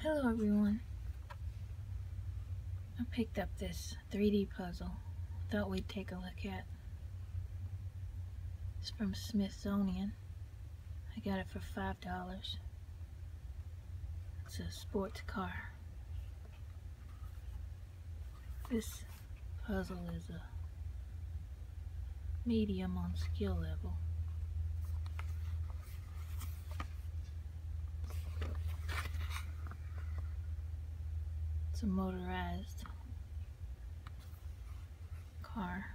Hello everyone. I picked up this 3D puzzle. Thought we'd take a look at. It's from Smithsonian. I got it for $5. It's a sports car. This puzzle is a medium on skill level. It's a motorized car.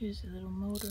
Here's a little motor.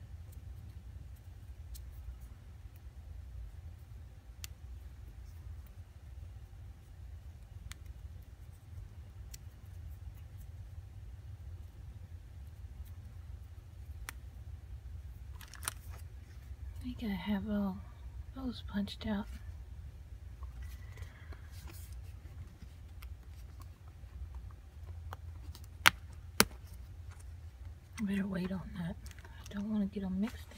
I think I have all those punched out. I better wait on that. I don't want to get them mixed in.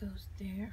goes there.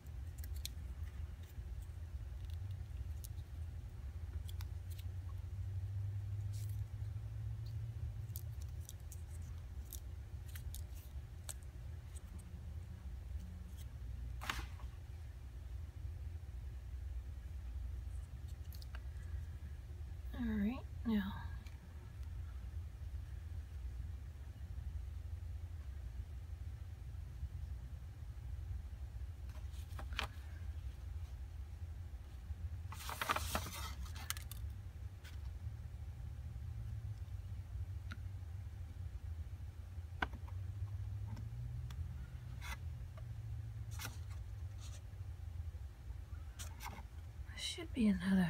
All right, now should be another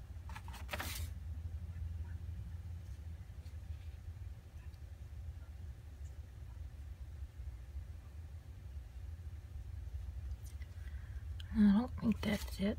I don't think that's it.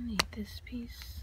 I need this piece.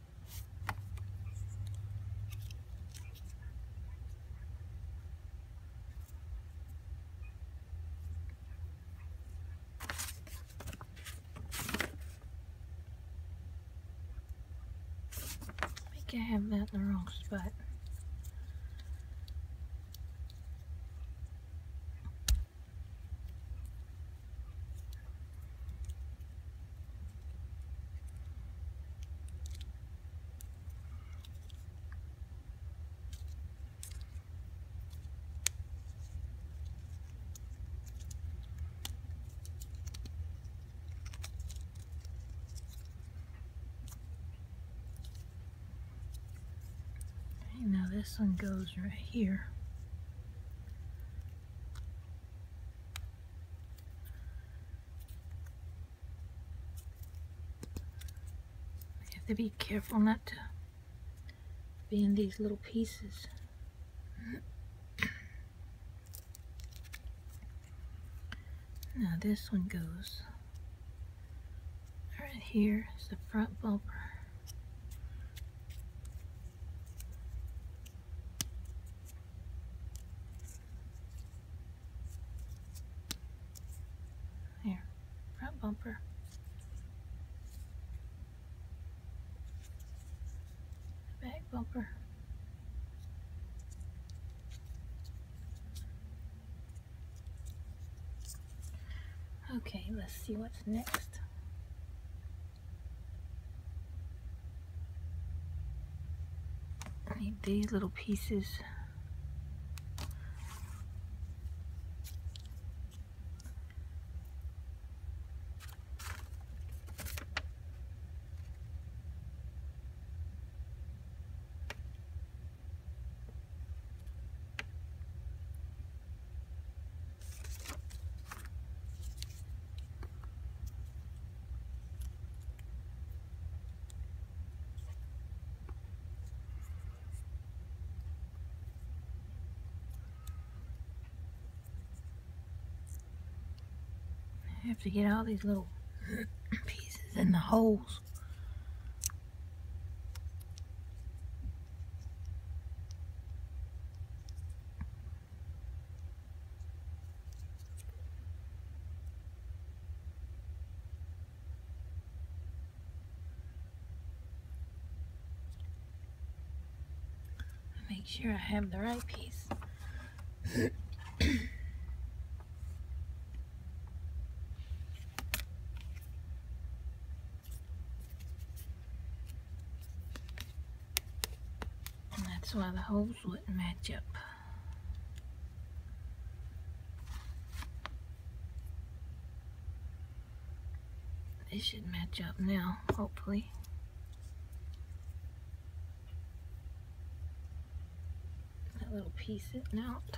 I have that in the wrong spot now this one goes right here. You have to be careful not to be in these little pieces. Now this one goes right here is the front bumper. There, front bumper. Back bumper. Okay, let's see what's next. I need these little pieces. I have to get all these little pieces in the holes. Make sure I have the right piece that's why the holes wouldn't match up. They should match up now, hopefully. That little piece sitting out.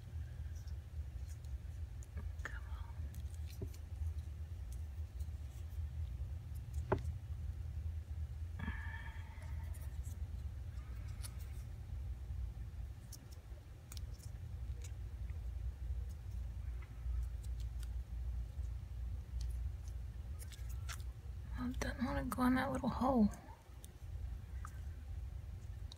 Come on. doesn't want to go in that little hole.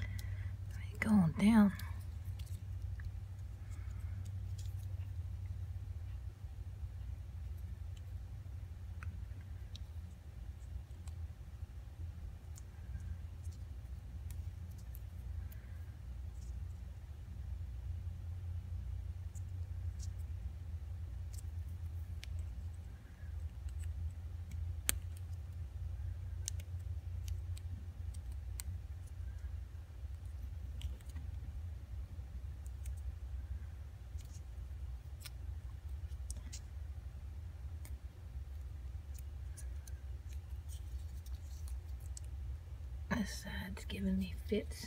I ain't going down. This side's giving me fits.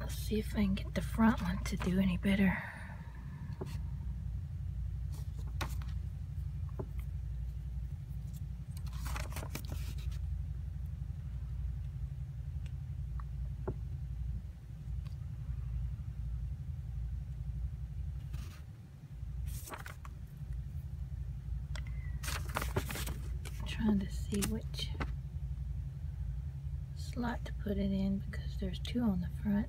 Let's see if I can get the front one to do any better trying to see which slot to put it in because there's two on the front.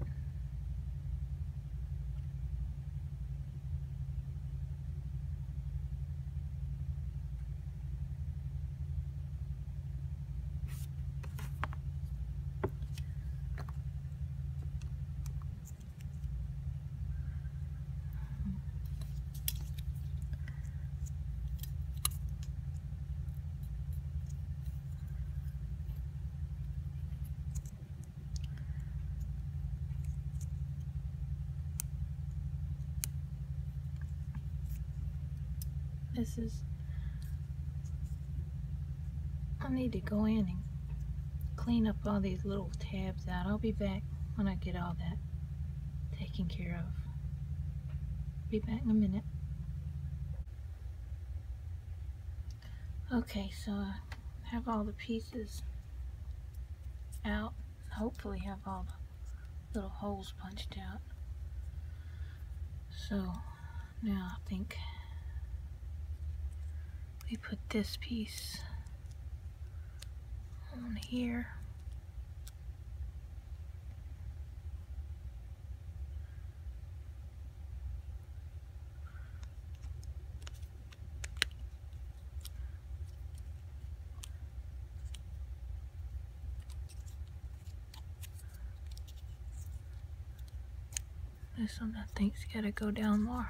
This is, I need to go in clean up all these little tabs out. I'll be back when I get all that taken care of. Be back in a minute. Okay, so I have all the pieces out. Hopefully have all the little holes punched out. So now I think we put this piece on here. This one I think's gotta go down more.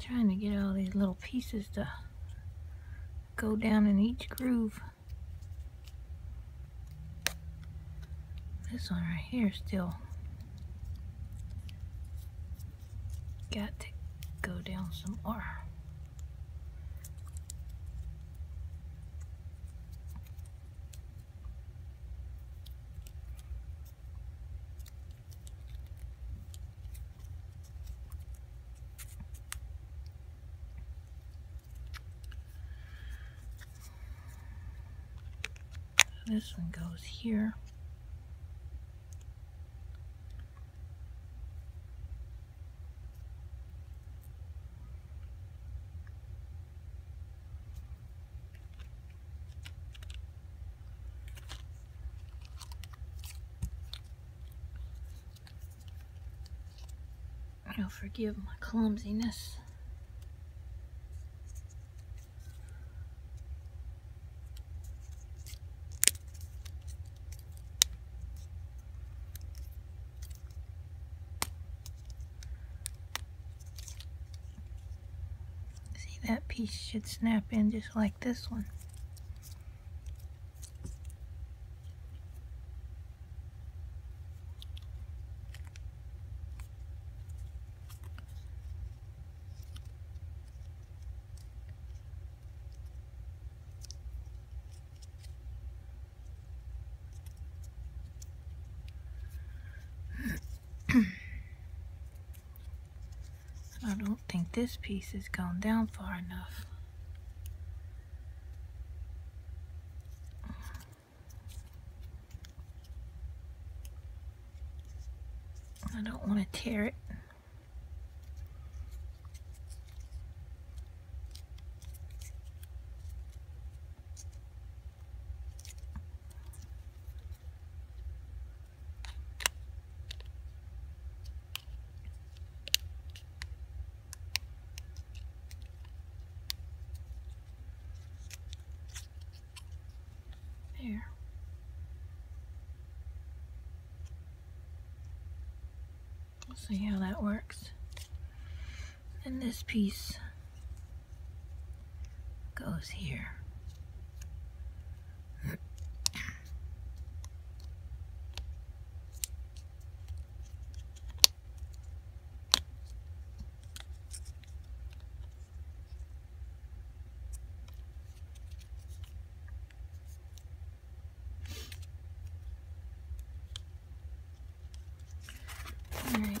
Trying to get all these little pieces to go down in each groove. This one right here still got to go down some more this one goes here. You'll forgive my clumsiness. See, that piece should snap in just like this one. I don't think this piece has gone down far enough. I don't want to tear it. There. We'll see how that works. And this piece goes here. All right.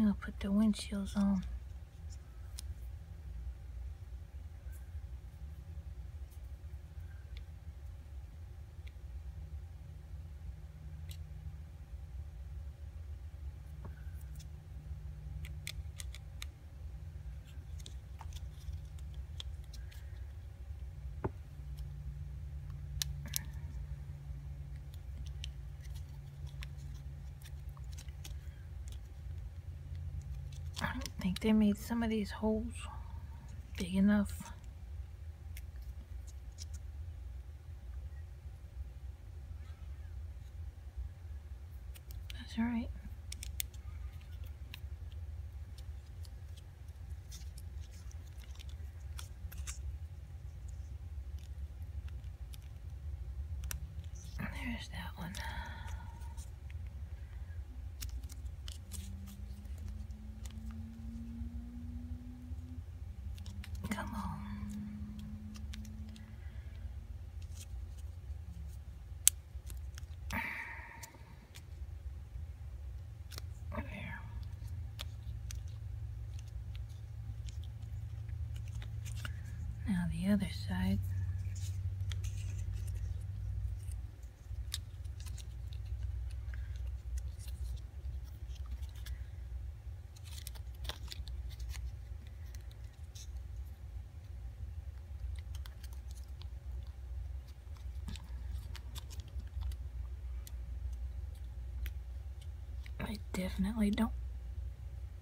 i will put the windshields on. I don't think they made some of these holes big enough. That's right. There's that one. Come on. Now the other side. I definitely don't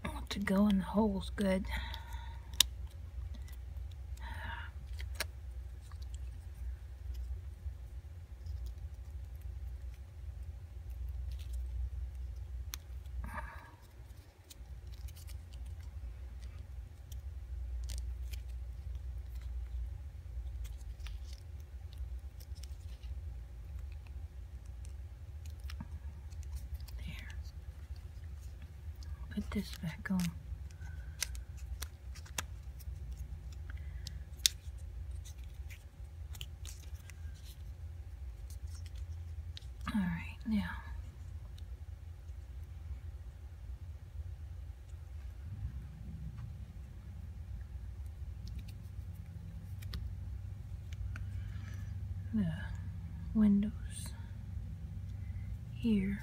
want to go in the holes good. There. Put this back on. All right, now the windows here.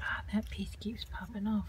Ah, that piece keeps popping off.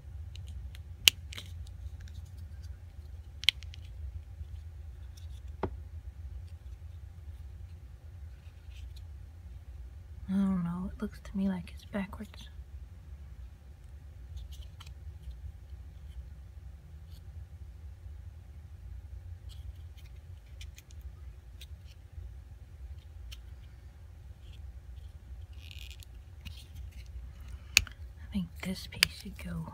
I don't know, it looks to me like it's backwards. I think this piece should go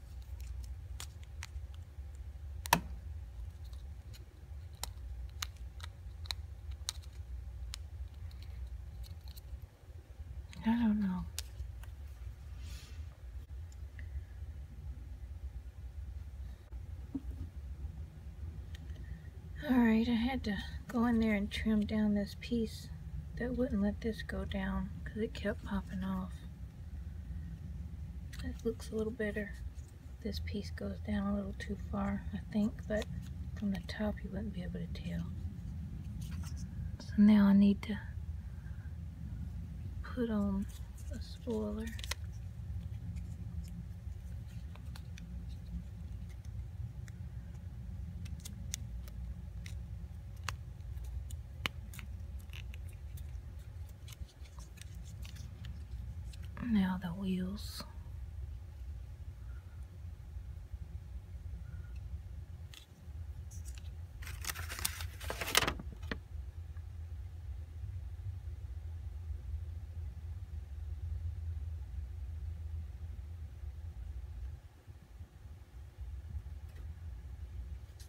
I don't know. Alright, I had to go in there and trim down this piece that wouldn't let this go down because it kept popping off. That looks a little better. This piece goes down a little too far, I think, but from the top you wouldn't be able to tell. So now I need to put on a spoiler. Now the wheels.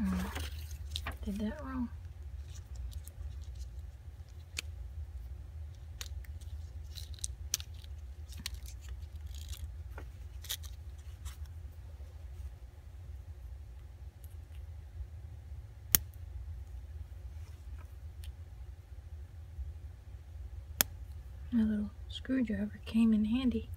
Oh, did that wrong. My little screwdriver came in handy.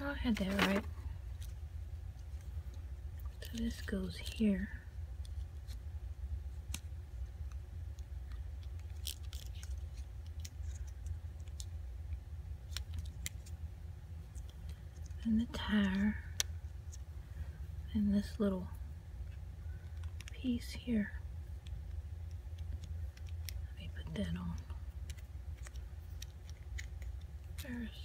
Oh, I had that right. So this goes here. And the tire. And this little piece here. Let me put that on first.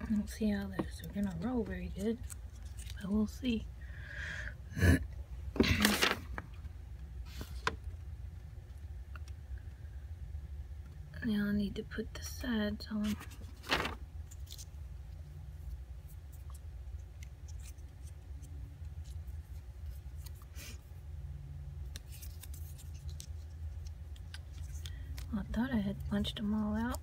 I don't see how this is gonna roll very good, but we'll see. now I need to put the sides on. I thought I had punched them all out.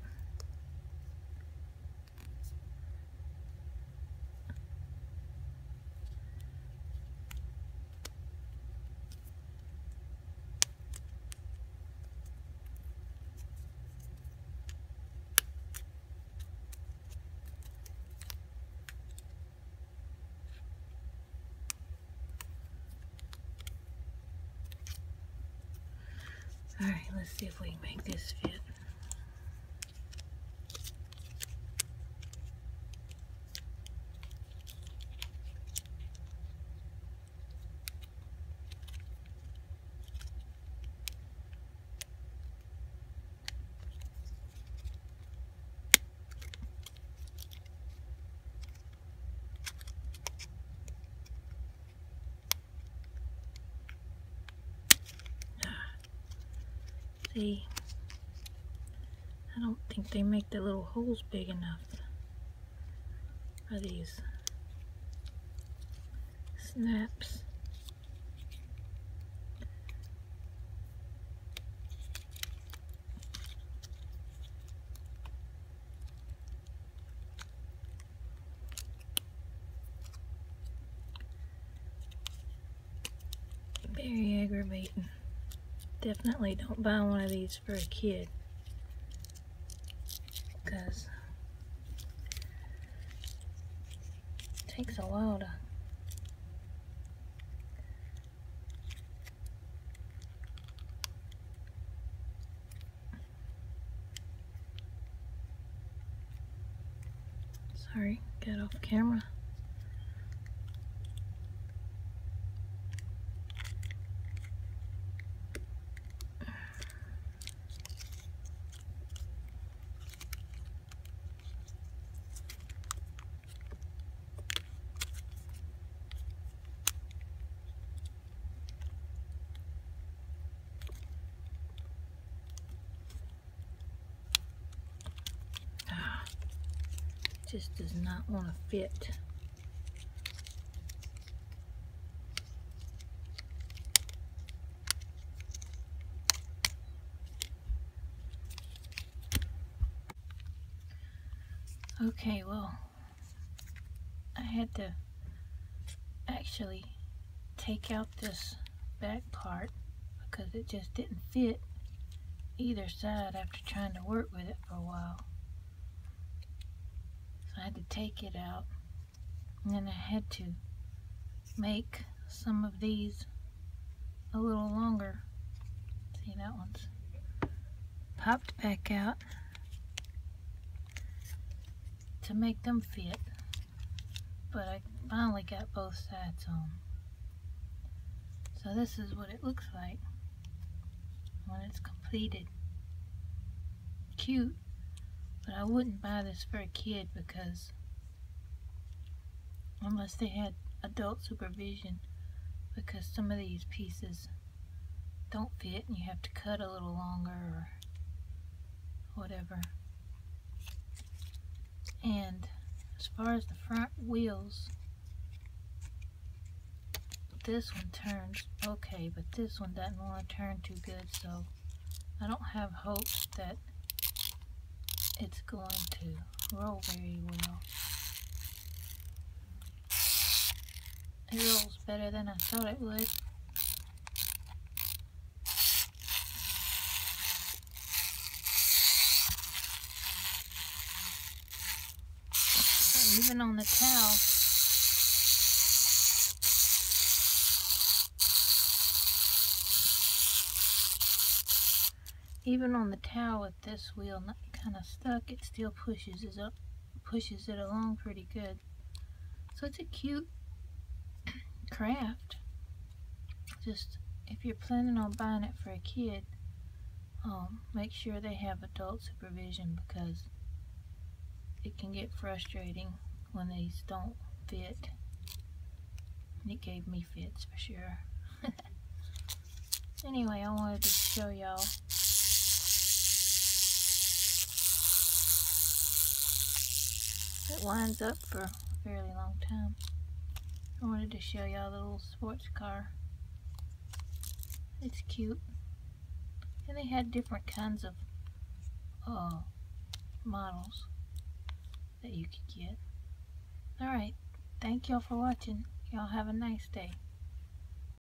Alright, let's see if we can make this fit. See, I don't think they make the little holes big enough Are these snaps. Very aggravating. Definitely don't buy one of these for a kid. Because it takes a while to Sorry, get off camera. Ah, just does not want to fit. Okay, well, I had to actually take out this back part because it just didn't fit either side after trying to work with it for a while. So I had to take it out and then I had to make some of these a little longer. See that one's popped back out to make them fit but I finally got both sides on so this is what it looks like when it's completed cute but I wouldn't buy this for a kid because unless they had adult supervision because some of these pieces don't fit and you have to cut a little longer or whatever. And as far as the front wheels, this one turns okay, but this one doesn't want to turn too good, so I don't have hopes that it's going to roll very well. It rolls better than I thought it would. even on the towel, even on the towel with this wheel kind of stuck, it still pushes it up pushes it along pretty good. So it's a cute craft. Just if you're planning on buying it for a kid, um, make sure they have adult supervision because it can get frustrating when these don't fit. And it gave me fits for sure. anyway, I wanted to show y'all it winds up for a fairly long time. I wanted to show y'all the little sports car. It's cute. And they had different kinds of uh, models that you could get. Alright, thank y'all for watching. Y'all have a nice day.